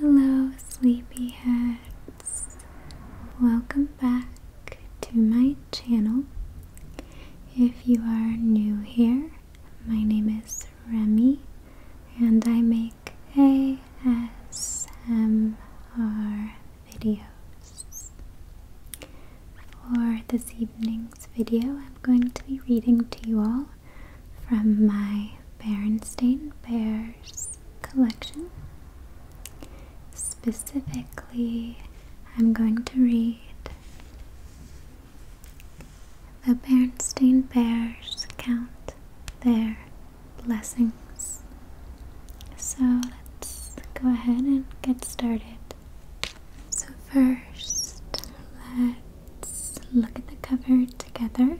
Hello, sleepyheads. Welcome back to my channel. If you are new here, my name is Remy and I make make ASMR videos. For this evening's video, I'm going to be reading to you all from my Bernstein Bears collection. Specifically, I'm going to read The Bernstein Bears Count Their blessings. So let's go ahead and get started. So, first, let's look at the cover together.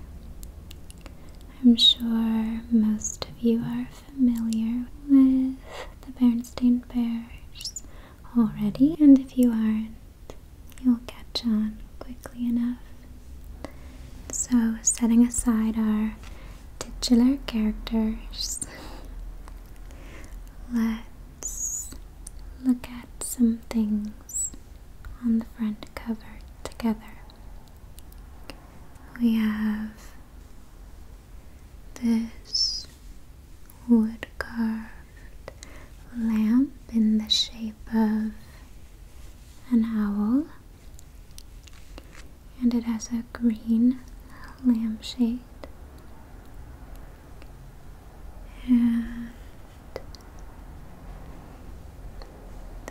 I'm sure most of you are familiar with the Bernstein Bears already, and if you aren't, you'll catch on quickly enough. So, setting aside our titular characters, let's look at some things on the front cover together. We have this wood carved lamp in the shape of an owl, and it has a green lampshade. And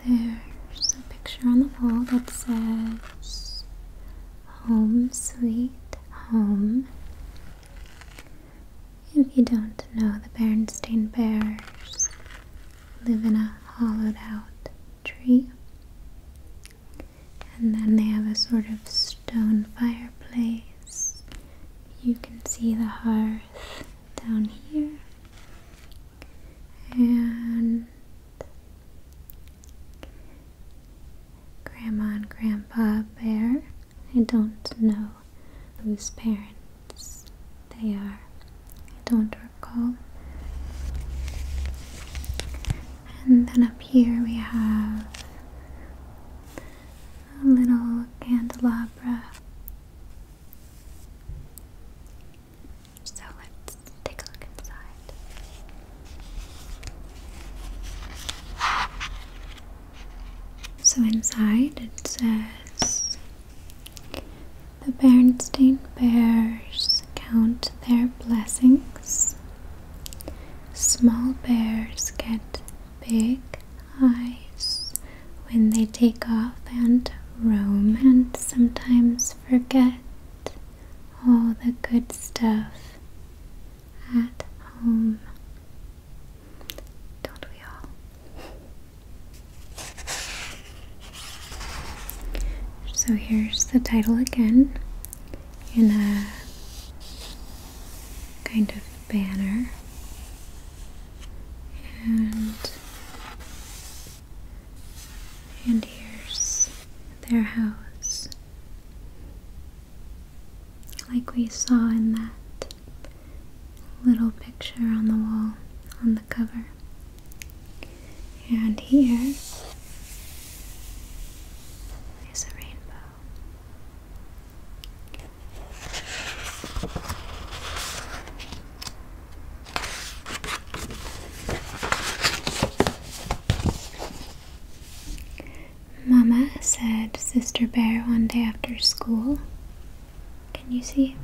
there's a picture on the wall that says Home Sweet Home. If you don't know the Bernstein Bears, live in a hollowed out tree. And then they have a sort of stone fireplace. You can see the hearth down here. And Grandma and Grandpa Bear. I don't know whose parents they are. I don't recall. And then up here we have a little candelabra. So let's take a look inside. So inside it says the Bernstein bears count their blessings. Small bears get big eyes when they take off and roam and sometimes forget all the good stuff at home. Don't we all? So here's the title again in a kind of banner. And and here's their house. Like we saw in that little picture on the wall on the cover. And here is a rainbow. Mama said Sister Bear one day after school, can you see?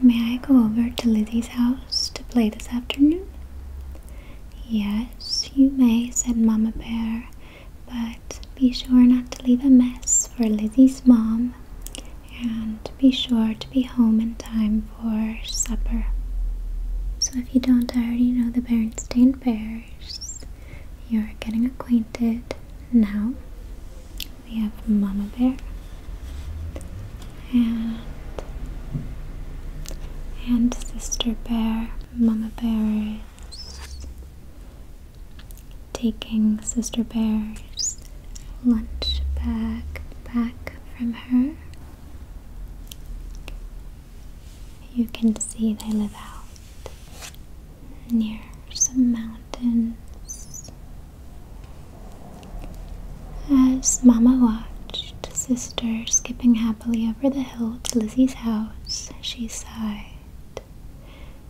May I go over to Lizzie's house to play this afternoon? Yes, you may, said Mamma Bear, but be sure not to leave a mess for Lizzie's mom, and be sure to be home in time for supper. So if you don't already know the Berenstain Bears, you're getting acquainted now. We have Mama Bear and and Sister Bear. Mama Bear is taking Sister Bear's lunch bag back from her. You can see they live out near some mountains. As Mama watched Sister skipping happily over the hill to Lizzie's house, she sighed.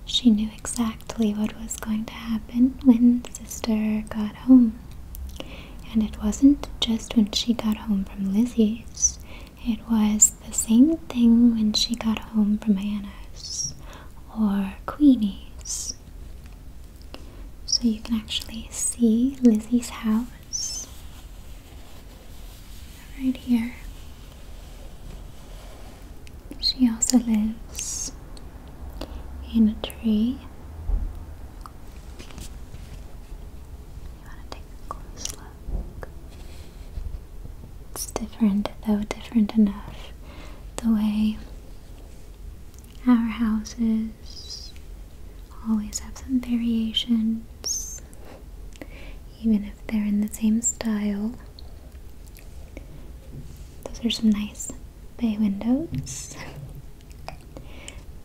She knew exactly what was going to happen when Sister got home. And it wasn't just when she got home from Lizzie's, it was the same thing when she got home from Anna's or Queenie's. So you can actually see Lizzie's house right here. She also lives in a tree. You want to take a close look. It's different, though different enough. The way our houses always have some variations, even if they're in the same style. Those are some nice bay windows.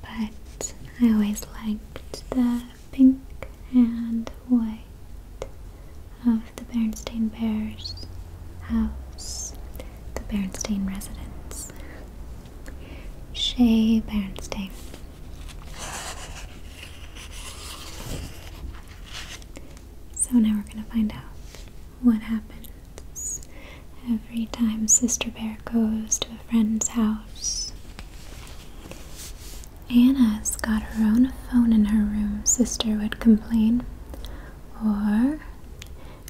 but I always liked the pink and white of the Berenstain Bears house, the Berenstain residence, Shea Berenstain. So now we're going to find out what happens every time Sister Bear goes to a friend's house. Anna's got her own phone in her room, sister would complain. Or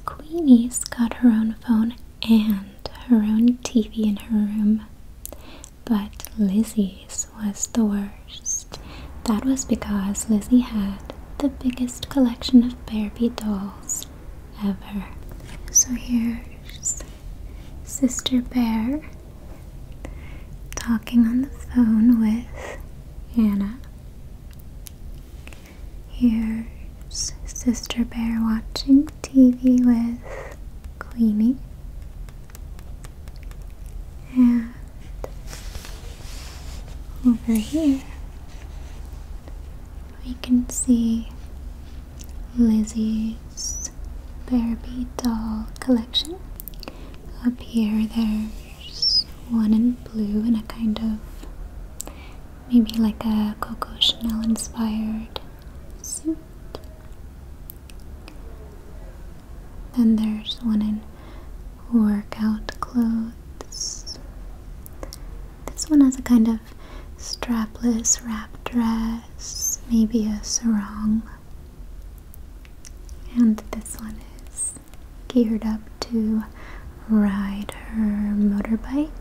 Queenie's got her own phone and her own TV in her room. But Lizzie's was the worst. That was because Lizzie had the biggest collection of Barbie dolls ever. So here's Sister Bear talking on the phone with Anna. Here's Sister Bear watching TV with Queenie. And over here, we can see Lizzie's Barbie doll collection. Up here, there's one in blue in a kind of maybe like a Coco Chanel inspired suit. Then there's one in workout clothes. This one has a kind of strapless wrap dress, maybe a sarong. And this one is geared up to ride her motorbike.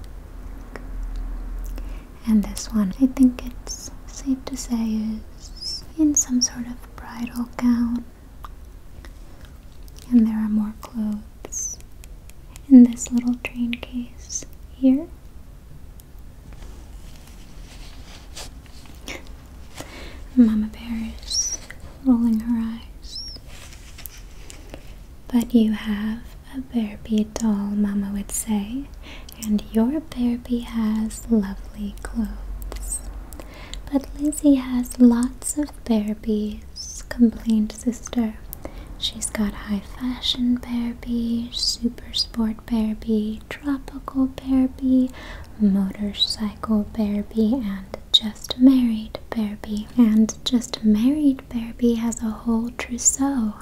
And this one, I think it's safe to say, is in some sort of bridal gown. And there are more clothes in this little train case here. Mama Bear is rolling her eyes. But you have a Bearby doll, Mama would say, and your Bearby has lovely clothes. But Lizzie has lots of Bearbies, complained Sister. She's got high fashion Bearby, super sport Barbie, tropical Barbie, motorcycle Barbie, and just married Barbie. And just married Barbie has a whole trousseau.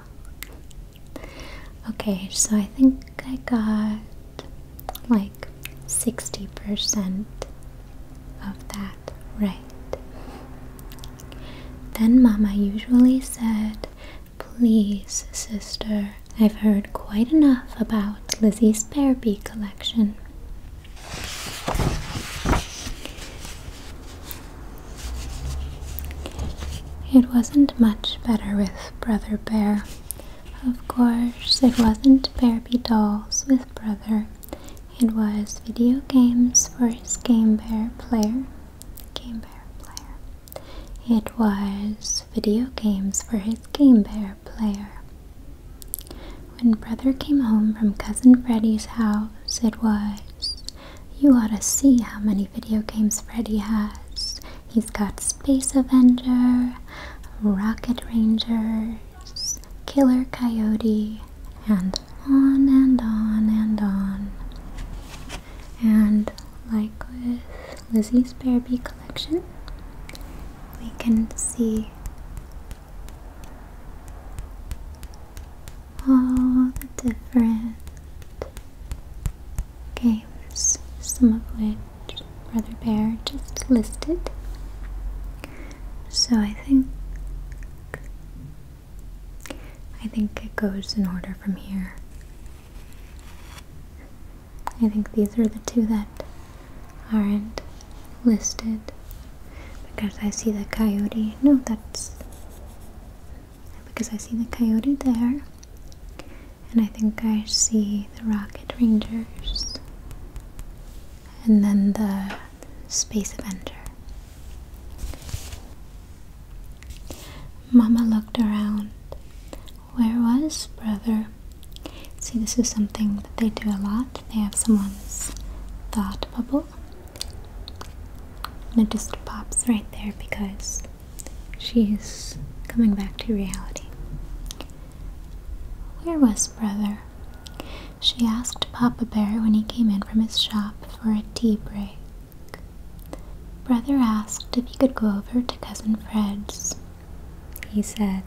Okay, so I think I got like 60% of that right. Then Mama usually said, Please, sister, I've heard quite enough about Lizzie's Bear collection. It wasn't much better with Brother Bear. Of course, it wasn't Barbie dolls with Brother. It was video games for his Game Bear player. Game Bear player. It was video games for his Game Boy player. When brother came home from cousin Freddie's house, it was, you ought to see how many video games Freddie has. He's got Space Avenger, Rocket Rangers, Killer Coyote, and on and on and on. And like with Lizzie's Barbie collection, we can see all the different games, some of which Brother Bear just listed. So I think I think it goes in order from here. I think these are the two that aren't listed because I see the coyote. No, that's because I see the coyote there. And I think I see the Rocket Rangers. And then the Space Avenger. Mama looked around. Where was brother? See, this is something that they do a lot. They have someone's thought bubble. And it just pops right there because she's coming back to reality. Where was brother? She asked Papa Bear when he came in from his shop for a tea break. Brother asked if he could go over to Cousin Fred's. He said,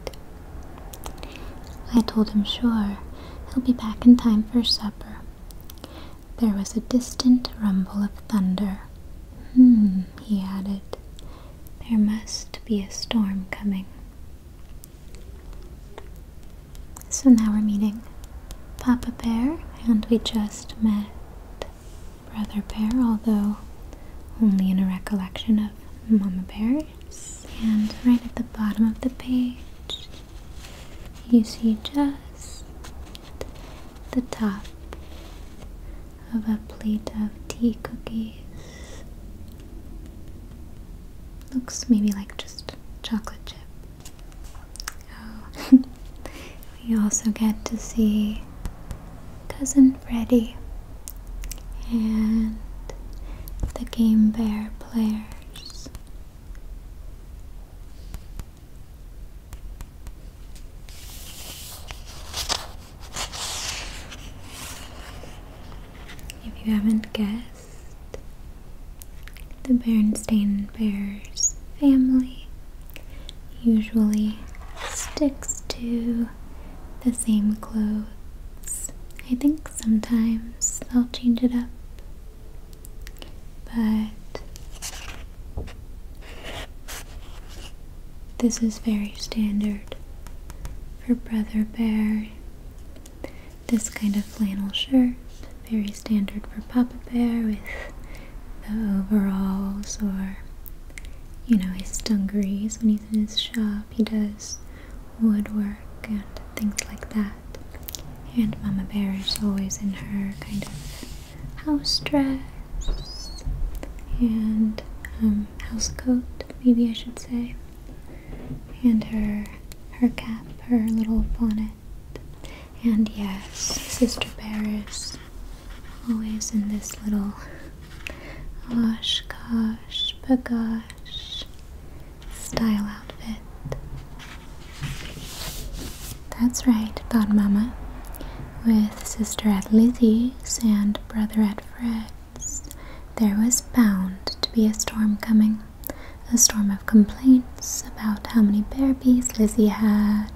I told him sure, he'll be back in time for supper. There was a distant rumble of thunder. Hmm, he added. There must be a storm coming. So now we're meeting Papa Bear, and we just met Brother Bear, although only in a recollection of Mama Bear's. And right at the bottom of the page, you see just the top of a plate of tea cookies. Looks maybe like just chocolate chip. Oh, We also get to see Cousin Freddy and the Game Bear players. If you haven't guessed, the Berenstain Bears family usually sticks to the same clothes. I think sometimes I'll change it up, but this is very standard for Brother Bear. This kind of flannel shirt, very standard for Papa Bear with the overalls or you know his dungarees when he's in his shop. He does woodwork and things like that. And Mama Bear is always in her kind of house dress and um, house coat, maybe I should say, and her her cap, her little bonnet. And yes, Sister Bear is always in this little wash gosh bagosh style outfit. That's right, thought Mama, with sister at Lizzie's and brother at Fred's. There was bound to be a storm coming, a storm of complaints about how many bear babies Lizzie had,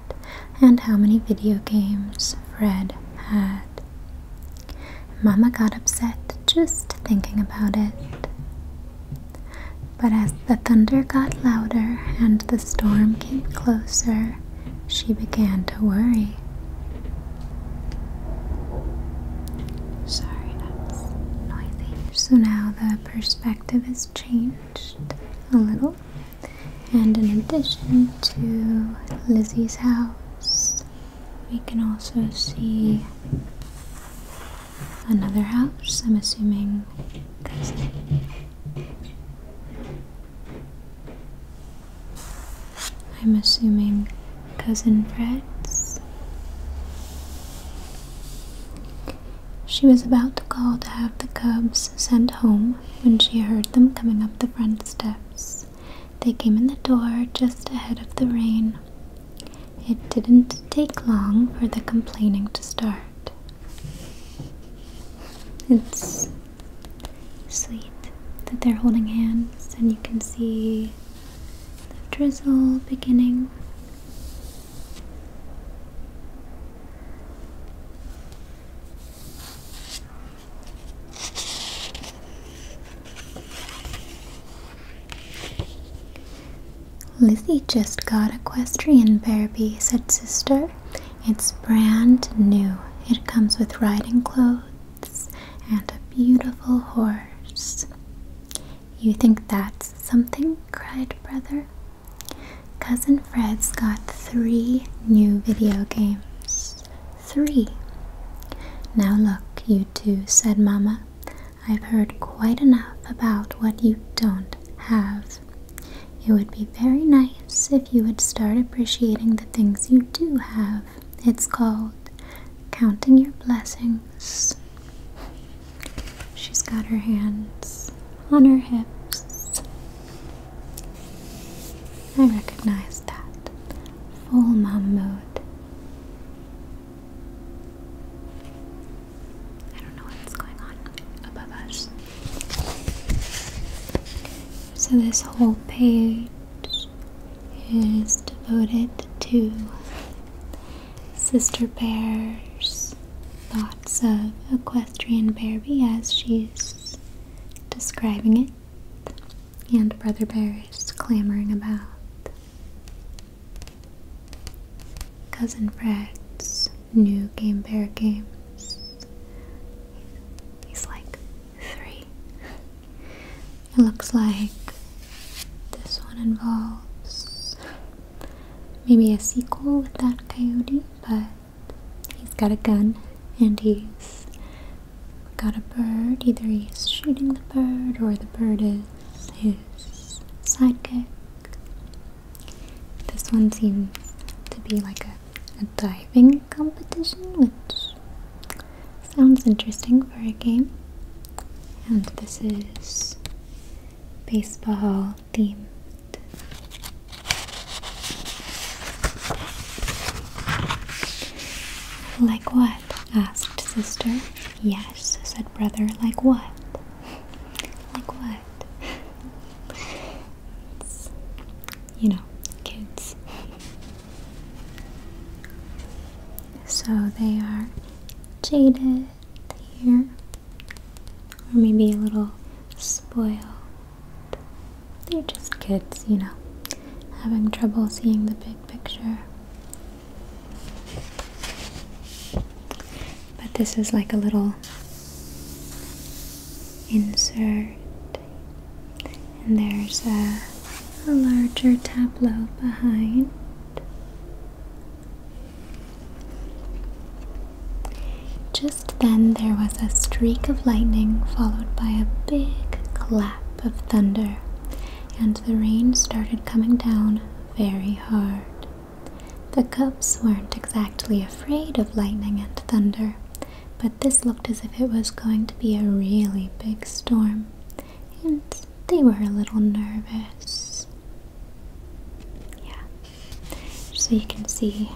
and how many video games Fred had. Mama got upset just thinking about it. But as the thunder got louder and the storm came closer, she began to worry. Sorry, that's noisy. So now the perspective has changed a little. And in addition to Lizzie's house, we can also see another house, I'm assuming I'm assuming cousin Fred's. She was about to call to have the cubs sent home when she heard them coming up the front steps. They came in the door just ahead of the rain. It didn't take long for the complaining to start. It's sweet that they're holding hands, and you can see the drizzle beginning. Lizzie just got equestrian Barbie, said Sister. It's brand new. It comes with riding clothes and a beautiful horse. You think that's something? cried Brother. Cousin Fred's got three new video games. Three. Now look, you two, said Mamma. I've heard quite enough about what you don't have. It would be very nice if you would start appreciating the things you do have. It's called counting your blessings. She's got her hands on her hips. I recognize that. Full mom mode. I don't know what's going on above us. So, this whole page is devoted to sister bears thoughts of equestrian Barbie as she's describing it, and Brother Bear is clamoring about. Cousin Fred's new Game Bear games. He's like three. It looks like this one involves maybe a sequel with that coyote, but he's got a gun and he's got a bird. Either he's shooting the bird or the bird is his sidekick. This one seems to be like a, a diving competition, which sounds interesting for a game. And this is baseball like what? asked sister. Yes, said brother. Like what? Like what? it's, you know, kids. So they are jaded here, or maybe a little spoil. They're just kids, you know, having trouble seeing the big picture. But this is like a little insert, and there's a larger tableau behind. Just then there was a streak of lightning followed by a big clap of thunder, and the rain started coming down very hard. The cubs weren't exactly afraid of lightning and thunder, but this looked as if it was going to be a really big storm, and they were a little nervous. Yeah, so you can see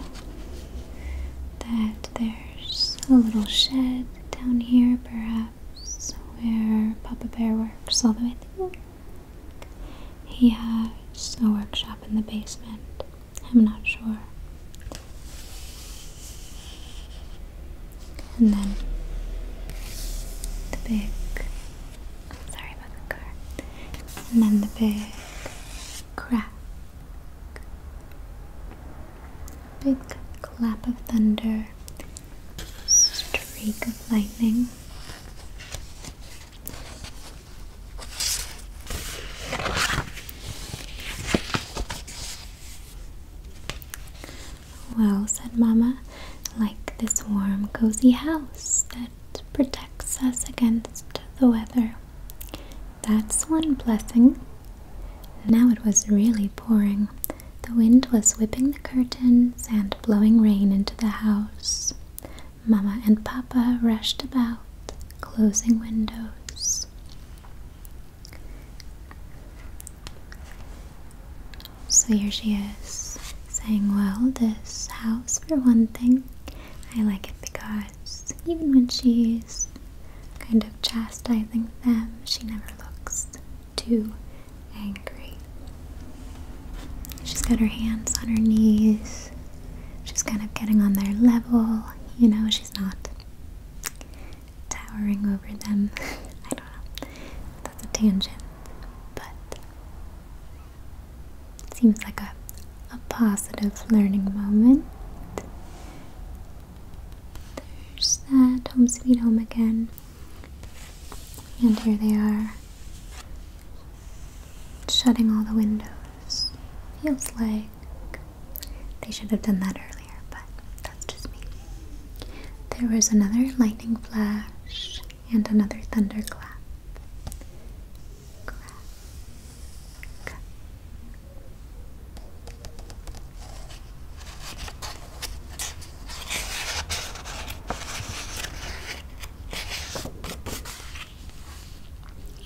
that there's a little shed down here, perhaps, where Papa Bear works, although I think he has a workshop in the basement. I'm not sure. And then the big I'm sorry about the car. And then the big crack. big clap of thunder. Streak of lightning. Well, said Mama. like this warm, cozy house that it protects us against the weather. That's one blessing. Now it was really pouring. The wind was whipping the curtains and blowing rain into the house. Mama and Papa rushed about, closing windows. So here she is saying, Well, this house, for one thing, I like it because even when she's kind of chastising them, she never looks too angry. She's got her hands on her knees, she's kind of getting on their level, you know, she's not towering over them. I don't know. That's a tangent. But Seems like a, a positive learning moment. There's that home sweet home again. And here they are, shutting all the windows. Feels like they should have done that earlier, but that's just me. There was another lightning flash and another thunderclap.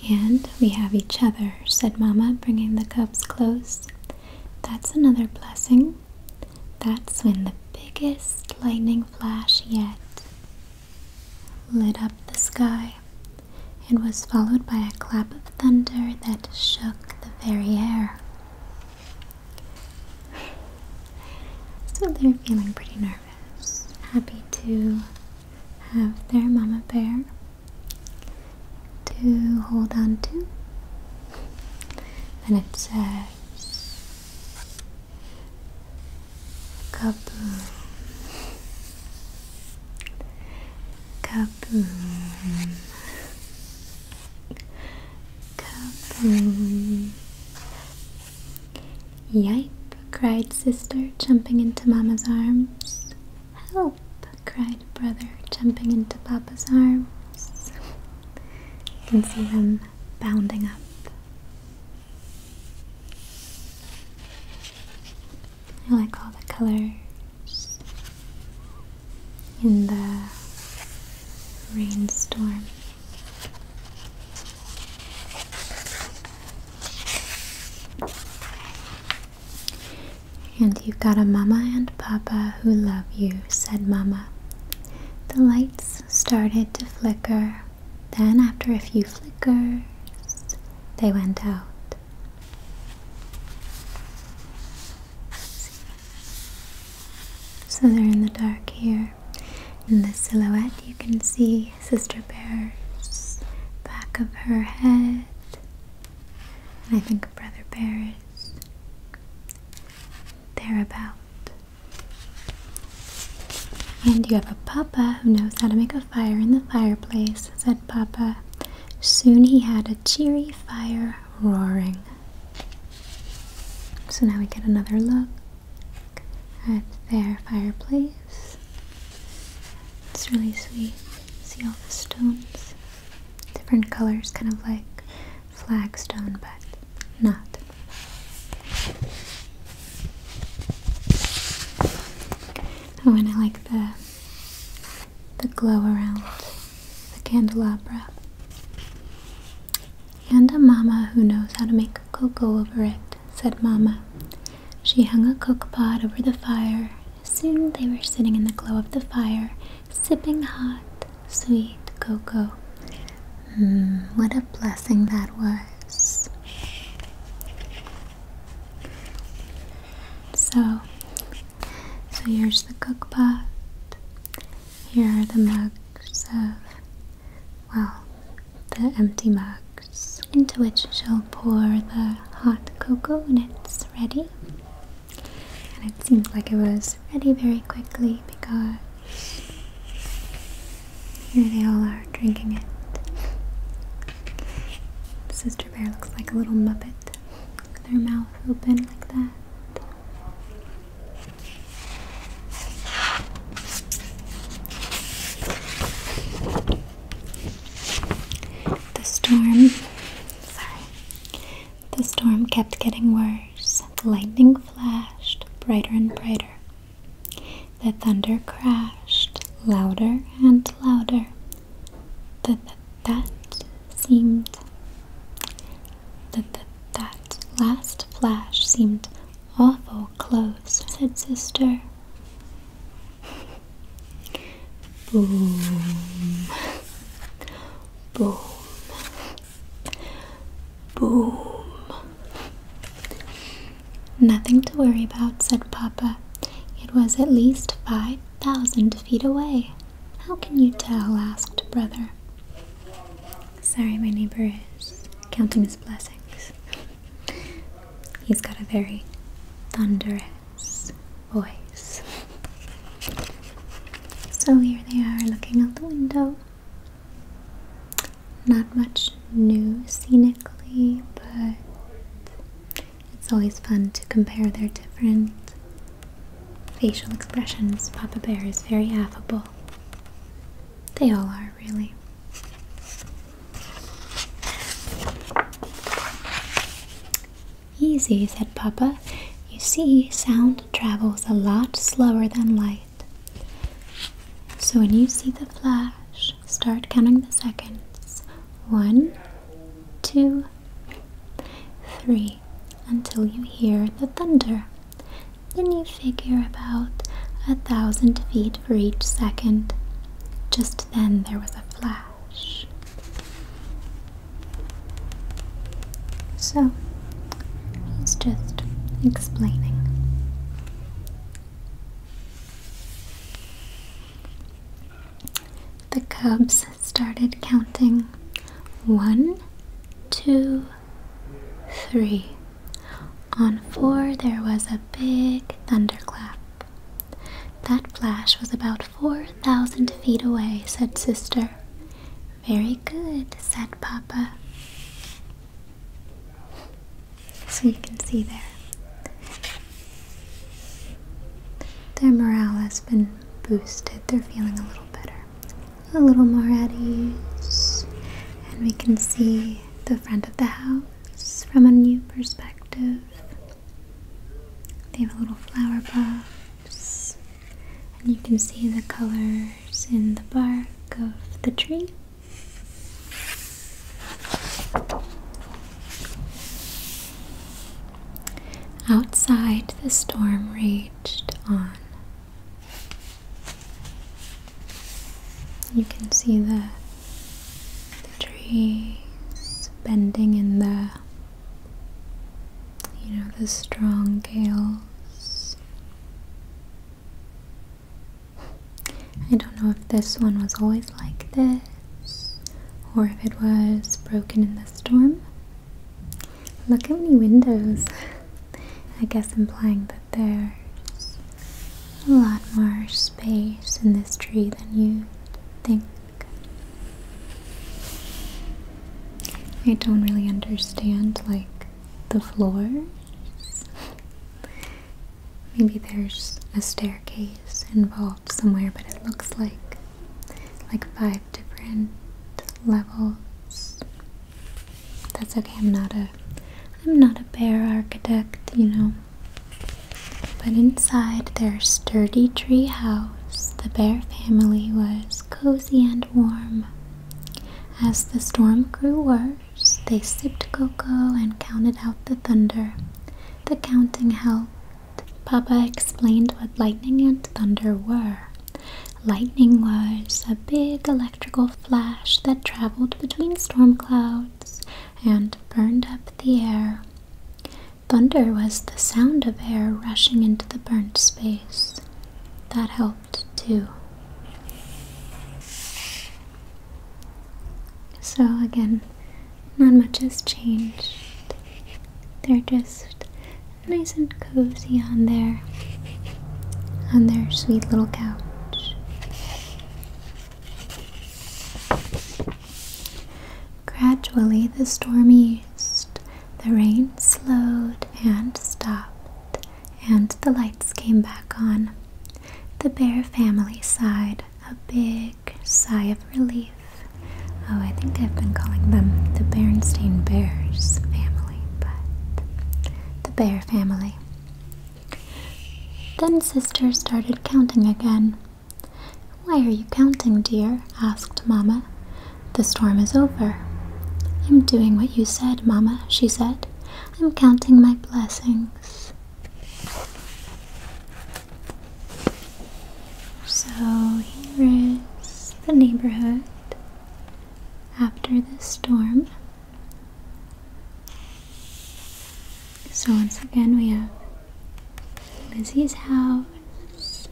And we have each other, said Mama, bringing the cubs close. That's another blessing. That's when the biggest lightning flash yet lit up the sky and was followed by a clap of thunder that shook the very air. So they're feeling pretty nervous, happy to have their mama bear to hold on to. And it says, Kaboom. Kaboom. Kaboom. Yipe, cried sister, jumping into mama's arms. Help, cried brother, jumping into papa's arms. You can see them bounding up I like all the colors in the rainstorm. And you've got a mama and papa who love you, said mama. The lights started to flicker. Then, after a few flickers, they went out. So they're in the dark here. In the silhouette, you can see Sister Bear's back of her head. And I think Brother Bear's about. And you have a papa who knows how to make a fire in the fireplace, said Papa. Soon he had a cheery fire roaring. So now we get another look at their fireplace. It's really sweet. See all the stones, different colors, kind of like flagstone, but not. Oh, and I like the the glow around the candelabra. And a mama who knows how to make cocoa over it, said "Mamma, She hung a cook pot over the fire. Soon they were sitting in the glow of the fire, sipping hot Sweet cocoa. Mm, what a blessing that was. So, so here's the cook pot. Here are the mugs of, well, the empty mugs, into which she'll pour the hot cocoa when it's ready. And it seems like it was ready very quickly because here they all are drinking it. Sister Bear looks like a little muppet with her mouth open like that. The storm, sorry, the storm kept getting worse. The lightning flashed brighter and brighter. The thunder crashed louder and louder. The, the, that seemed. The, the, that last flash seemed awful close, said Sister. Boom. Boom. Boom. Nothing to worry about, said Papa. It was at least five thousand feet away. How can you tell? asked Brother. Sorry, my neighbor is counting his blessings. He's got a very thunderous voice. So here they are looking out the window. Not much new scenically, but it's always fun to compare their different facial expressions. Papa Bear is very affable. They all are, really. Easy, said Papa. You see, sound travels a lot slower than light. So when you see the flash, start counting the seconds. One, two, three, until you hear the thunder. Then you figure about a thousand feet for each second. Just then there was a flash. So, he's just explaining. The cubs started counting one, two, three. On four, there was a big thunderclap. That flash was about 4,000 feet away, said Sister. Very good, said Papa. So you can see there. Their morale has been boosted. They're feeling a little better, a little more at ease. And we can see the front of the house from a new perspective. They have a little flower pot. And you can see the colors in the bark of the tree. Outside, the storm raged on. You can see the, the trees bending in the, you know, the strong gales. I don't know if this one was always like this or if it was broken in the storm. Look how many windows. I guess implying that there's a lot more space in this tree than you think. I don't really understand, like, the floors. Maybe there's a staircase involved somewhere, but it looks like like five different levels. That's okay. I'm not a I'm not a bear architect, you know. But inside their sturdy tree house, the bear family was cozy and warm. As the storm grew worse, they sipped cocoa and counted out the thunder. The counting helped. Papa explained what lightning and thunder were. Lightning was a big electrical flash that traveled between storm clouds and burned up the air. Thunder was the sound of air rushing into the burnt space that helped too. So, again, not much has changed. They're just nice and cozy on their, on their sweet little couch. Gradually, the storm eased, the rain slowed and stopped, and the lights came back on. The bear family sighed a big sigh of relief. Oh, I think I've been calling them the Bernstein Bears family, but the bear family. Then Sister started counting again. Why are you counting, dear? asked Mamma. The storm is over. I'm doing what you said, Mamma, she said. I'm counting my blessings. So here is the neighborhood after the storm. So once again we have Lizzie's house,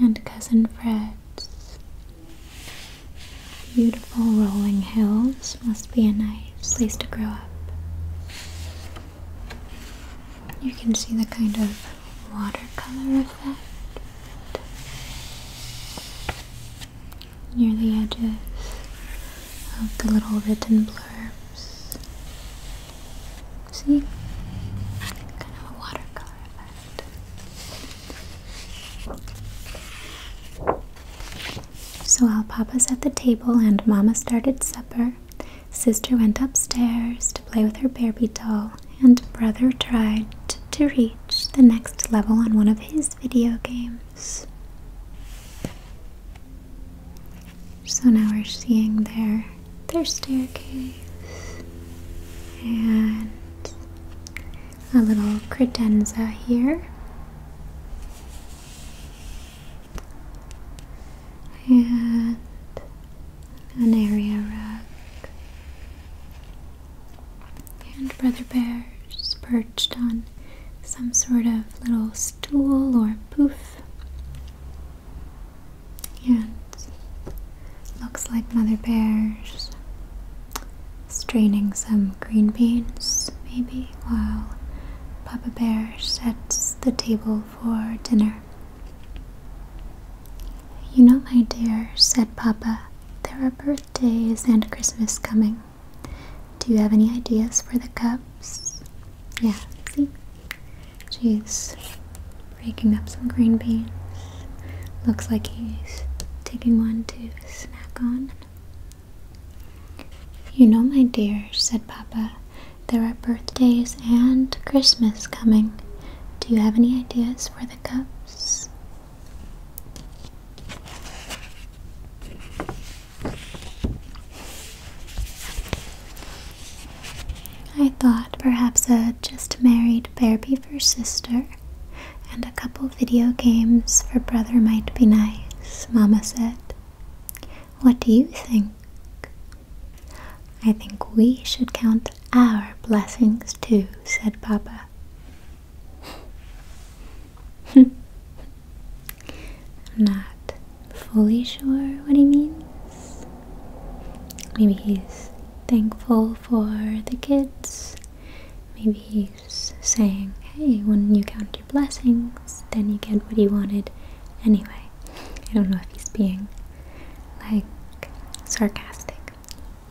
and Cousin Fred's. Beautiful rolling hills must be a nice place to grow up. You can see the kind of watercolor effect near the edges of the little written blurbs. See? Kind of a watercolor effect. So while Papa set the table and Mama started supper, Sister went upstairs to play with her Barbie doll, and Brother tried to reach the next level on one of his video games. So now we're seeing their their staircase and a little credenza here. And an area rug. And Brother Bear Bear's perched on some sort of little stool or poof. And looks like Mother Bear is straining some green beans, maybe, while Papa Bear sets the table for dinner. You know, my dear, said Papa, there are birthdays and Christmas coming. Do you have any ideas for the cups? Yeah, see? She's raking up some green beans. Looks like he's taking one to snack on. You know, my dear, said Papa, there are birthdays and Christmas coming. Do you have any ideas for the cups? I thought perhaps a just married Barbie for sister and a couple video games for brother might be nice, Mama said. What do you think? I think we should count our blessings too, said Papa. Not fully sure what he means. Maybe he's thankful for the kids. Maybe he's saying, hey, when you count your blessings, then you get what you wanted anyway. I don't know if he's being like sarcastic.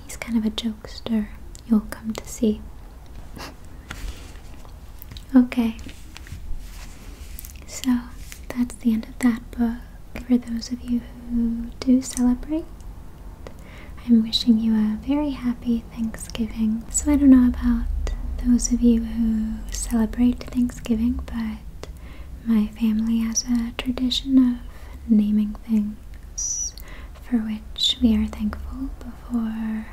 He's kind of a jokester, you'll come to see. okay, so that's the end of that book. For those of you who do celebrate, I'm wishing you a very happy Thanksgiving. So I don't know about those of you who celebrate Thanksgiving, but my family has a tradition of naming things for which we are thankful before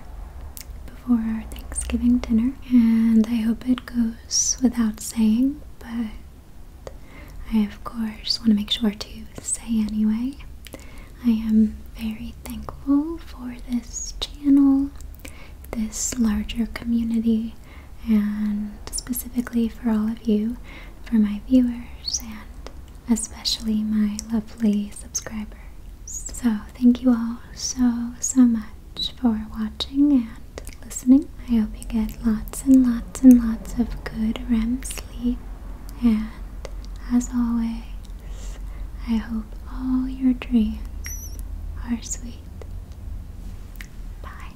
before our Thanksgiving dinner, and I hope it goes without saying, but I, of course, want to make sure to say anyway. I am very thankful for this channel, this larger community, and specifically for all of you, for my viewers, and especially my lovely subscribers. So, thank you all so, so much for watching and listening. I hope you get lots and lots and lots of good REM sleep. And as always, I hope all your dreams are sweet. Bye.